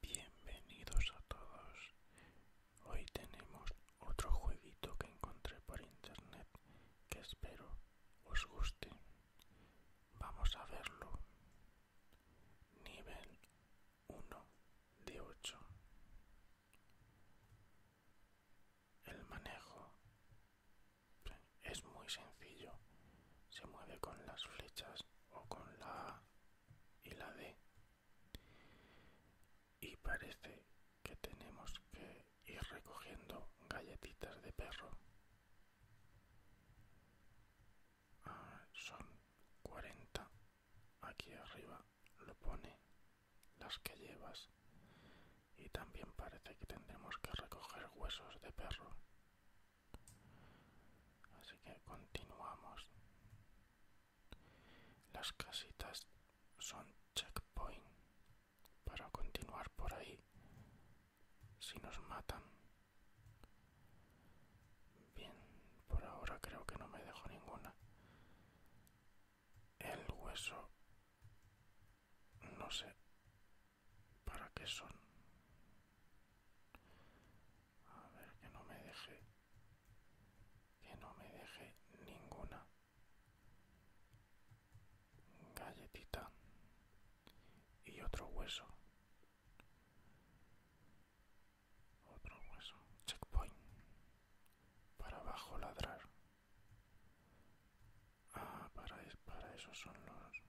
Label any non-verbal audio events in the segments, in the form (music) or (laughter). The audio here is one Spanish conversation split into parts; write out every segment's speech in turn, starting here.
Bienvenidos a todos. Hoy tenemos otro jueguito que encontré por internet que espero os guste. Vamos a verlo. Nivel 1 de 8. El manejo es muy sencillo. Se mueve con las flechas o con la y la D y parece que tenemos que ir recogiendo galletitas de perro ah, son 40 aquí arriba lo pone las que llevas y también parece que tendremos que recoger huesos de perro así que continuamos las casitas son checkpoint para continuar por ahí si nos matan bien por ahora creo que no me dejo ninguna el hueso no sé ¿Para qué son? A ver, que no me deje. Que no me deje ninguna galletita y otro hueso. Otro hueso. Checkpoint. Para abajo ladrar. Ah, para, para eso son los...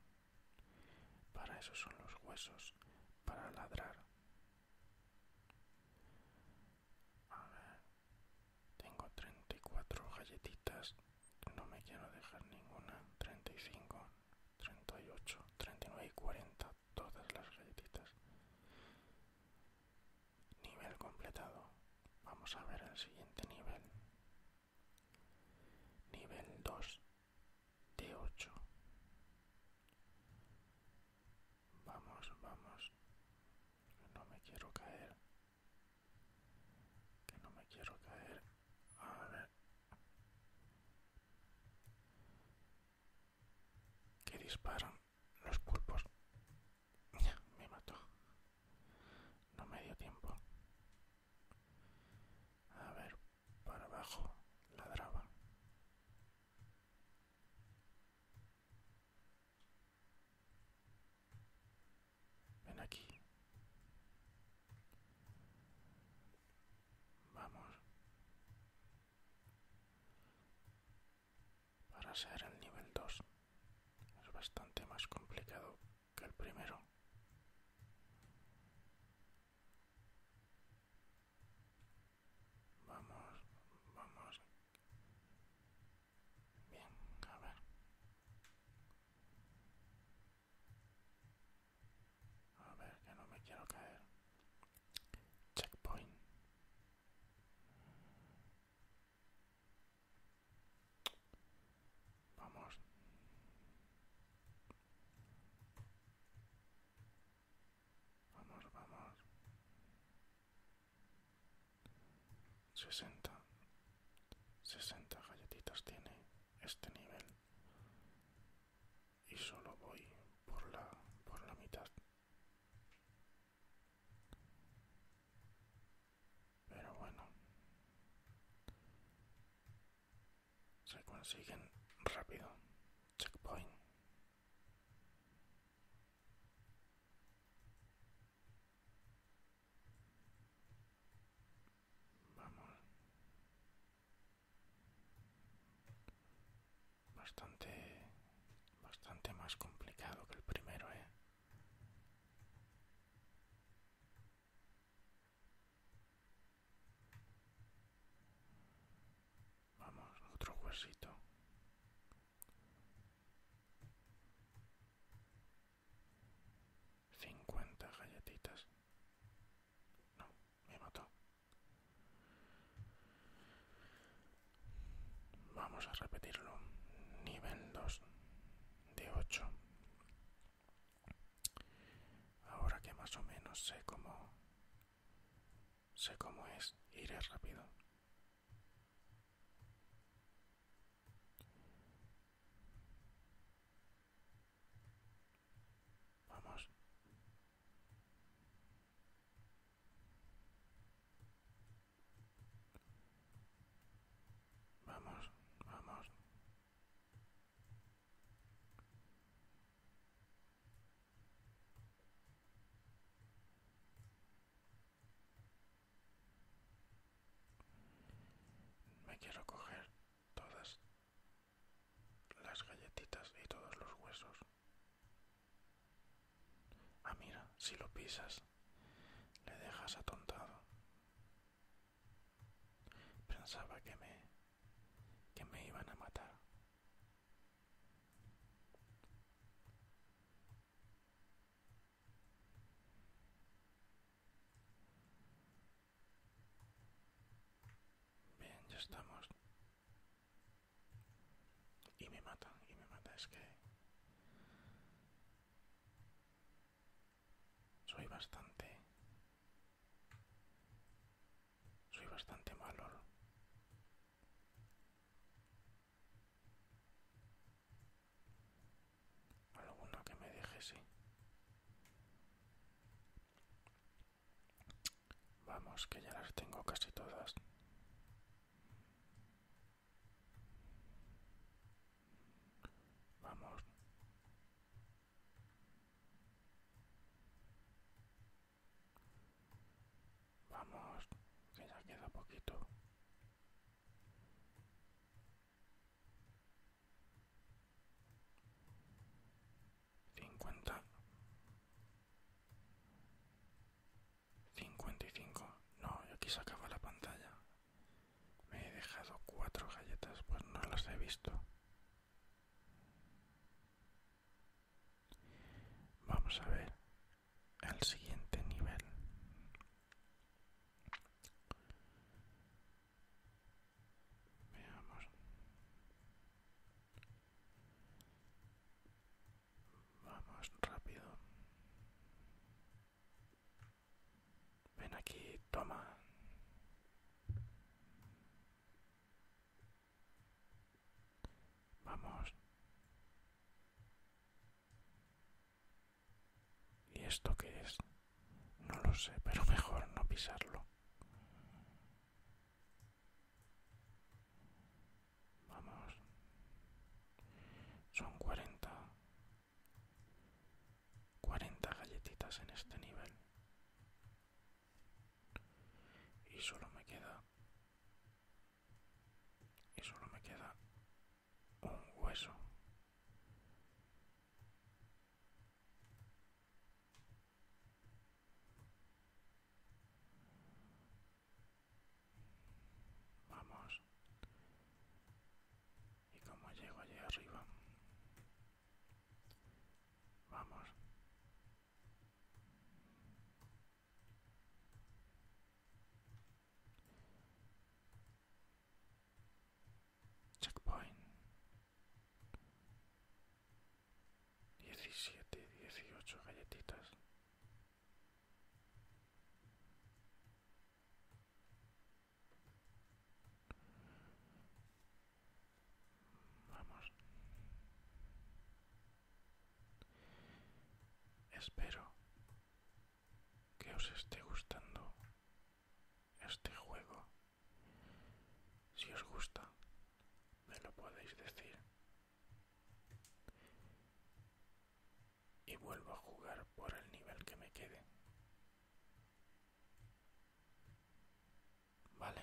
Para eso son los huesos, para ladrar. A ver, tengo 34 galletitas, no me quiero dejar ninguna. 35, 38, 39 y 40, todas las galletitas. Nivel completado. Vamos a ver el siguiente nivel nivel 2 de 8 vamos vamos no me quiero caer que no me quiero caer a ver que disparan los pulpos (laughs) me mató no me dio tiempo a ver, para abajo, ladraba. Ven aquí. Vamos. Para ser el nivel 2 es bastante más complicado que el primero. Vamos, vamos. Bien, a ver. A ver, que no me quiero caer. Checkpoint. Vamos. Vamos, vamos. 60. 60 galletitas tiene este nivel. Y solo voy por la por la mitad pero bueno se consiguen rápido checkpoint vamos bastante bastante más complicado que el primero eh Vamos, otro huesito. Cincuenta galletitas. No, me mató. Vamos a repetirlo. Nivel dos, de 8 ahora que más o menos sé cómo sé cómo es iré rápido Vamos. Vamos, vamos. Me quiero coger todas las galletitas y todos los huesos. Ah, mira, si lo pisas le dejas atontado. Pensaba que me, que me iban a matar. Bien, ya estamos. Y me matan, y me mata, es que soy bastante... Soy bastante malo. Alguno que me deje, sí. Vamos, que ya las tengo casi todas. Vamos. Vamos, que ya queda poquito. Cincuenta. 55. No, yo aquí se acaba la pantalla. Me he dejado cuatro galletas, pues no las he visto. Vamos a ver el siguiente nivel. Veamos. Vamos, rápido. Ven aquí, toma. Vamos. ¿Y esto que es? No lo sé, pero mejor no pisarlo. Vamos. Son 40. 40 galletitas en este nivel. Y solo me queda... Y solo me queda un hueso. Vamos. ¿Y cómo llego allí arriba? Vamos. Checkpoint. 17, 18 galletitas. Vamos. Espero que os esté gustando este juego. Si os gusta, me lo podéis decir y vuelvo a jugar por el nivel que me quede. Vale.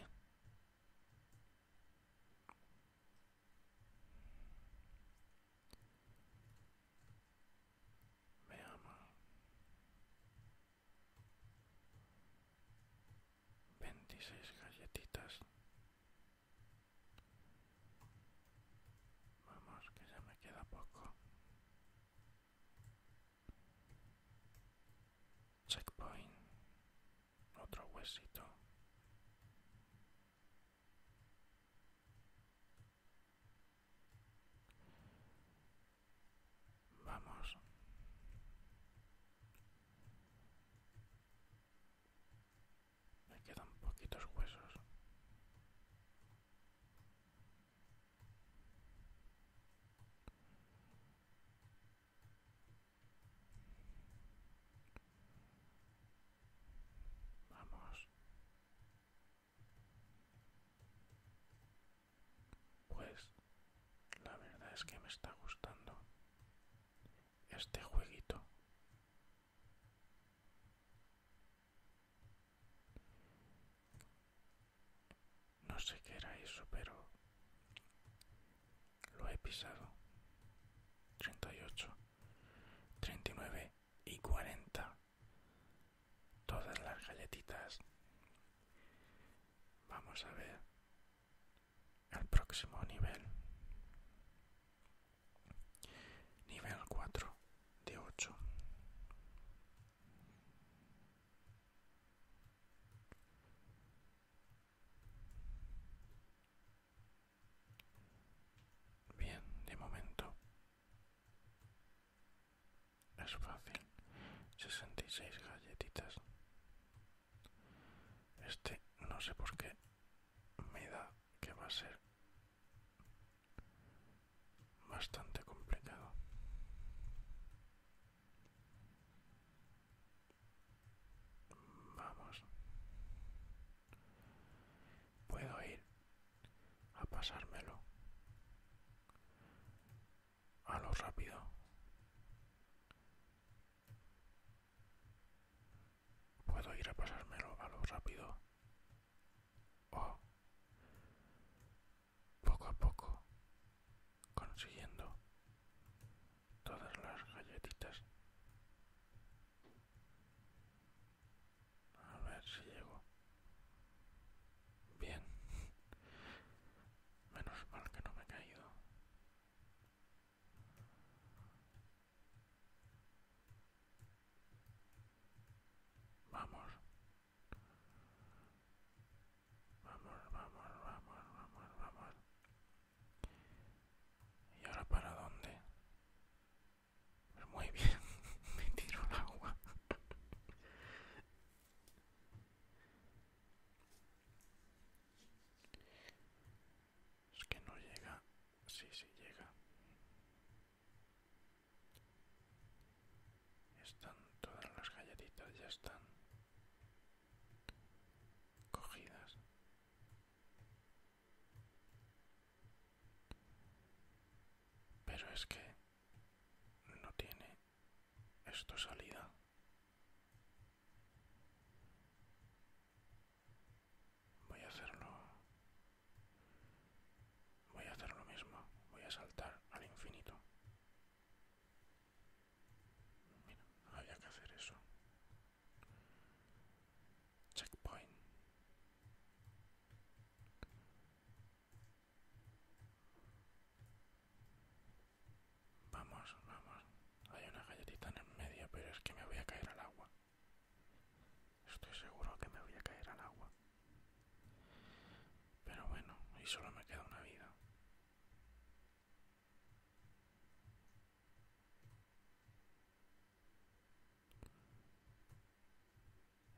Veamos. 26 galletitas Vamos, que ya me queda poco. Checkpoint. Otro huesito. Vamos. Me quedan poquitos huesos. Vamos. Pues la verdad es que me está gustando este jueguito. No sé qué era eso, pero lo he pisado. ocho treinta y nueve y cuarenta Todas las galletitas. Vamos a ver al próximo nivel. Nivel 4 de 8. Bien, de momento es fácil. 66 galletitas este no sé por qué me da que va a ser bastante complicado. Vamos. Puedo ir a pasármelo a lo rápido. Puedo ir a pasármelo a lo rápido o poco a poco consiguiendo todas las galletitas. A ver si llego. Bien. Menos mal que no me he caído. Vamos. Vamos, vamos, vamos, vamos, vamos. ¿Y ahora para dónde? Pues muy bien, (laughs) me tiro el agua. Es que no llega. Sí, sí llega. Están todas las galletitas, ya están cogidas. Pero es que no tiene esto salida. Voy a hacerlo. Voy a hacer lo mismo. Voy a saltar al infinito. Mira, había que hacer eso. Checkpoint. Vamos, vamos. Hay una galletita en el medio, pero es que me voy a caer al agua. Estoy seguro que me voy a caer al agua. Pero bueno, y solo me queda una vida.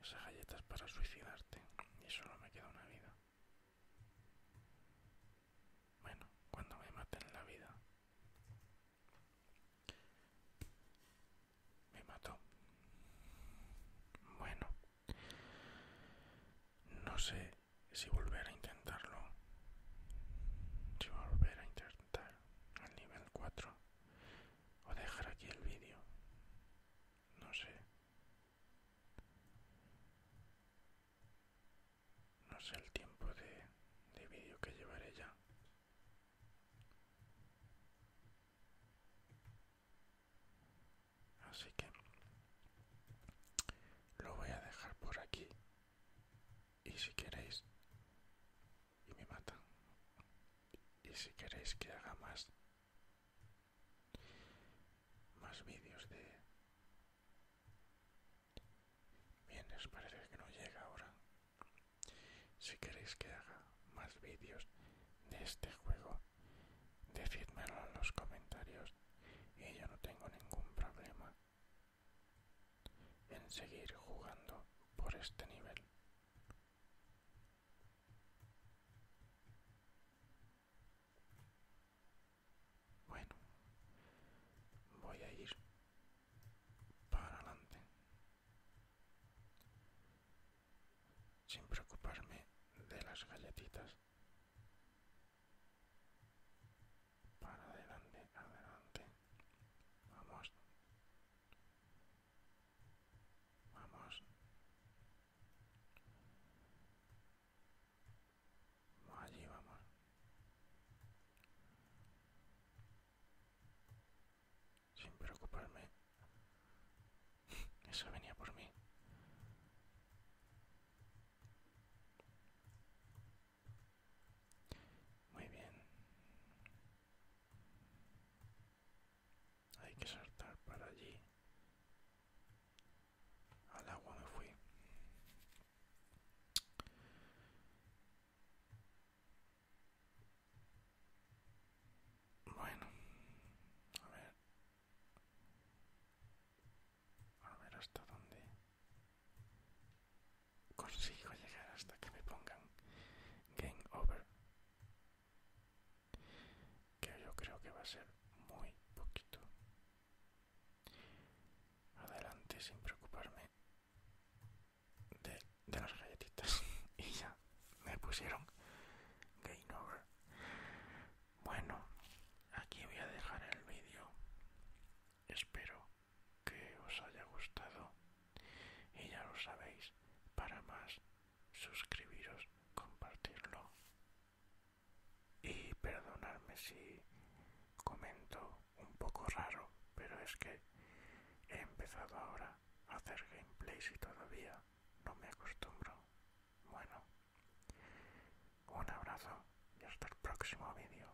Esa galleta es para suicidarte y solo me queda una vida. Bueno, cuando me maten la vida. Me mató. Bueno. No sé si volver a intentarlo. Si volver a intentar al nivel 4. O dejar aquí el vídeo. No sé. No sé el tiempo de, vídeo que llevaré ya. Así que lo voy a dejar por aquí. Y si queréis, y me matan. Y si queréis que haga más más vídeos de... Bien, parece que no llega ahora. Si queréis que haga más vídeos de este juego, decídmelo en los comentarios y yo no tengo ningún problema en seguir jugando por este nivel bueno, voy a ir para adelante sin preocuparme de las galletitas. Para adelante, adelante. Vamos. Vamos. Allí vamos. Sin preocuparme. (laughs) Eso venía por mí. Muy bien hay que saltar para allí al agua me fui bueno a ver a ver hasta dónde consigo llegar hasta que me pongan game over que yo creo que va a ser muy poquito. Adelante sin preocuparme de, de las galletitas. (laughs) y ya me pusieron game over. Bueno, aquí voy a dejar el vídeo. Espero que os haya gustado. Y ya lo sabéis, para más suscribiros, compartirlo y perdonadme si comento un poco raro, pero es que he empezado ahora a hacer gameplays y todavía no me acostumbro. Bueno, un abrazo y hasta el próximo vídeo.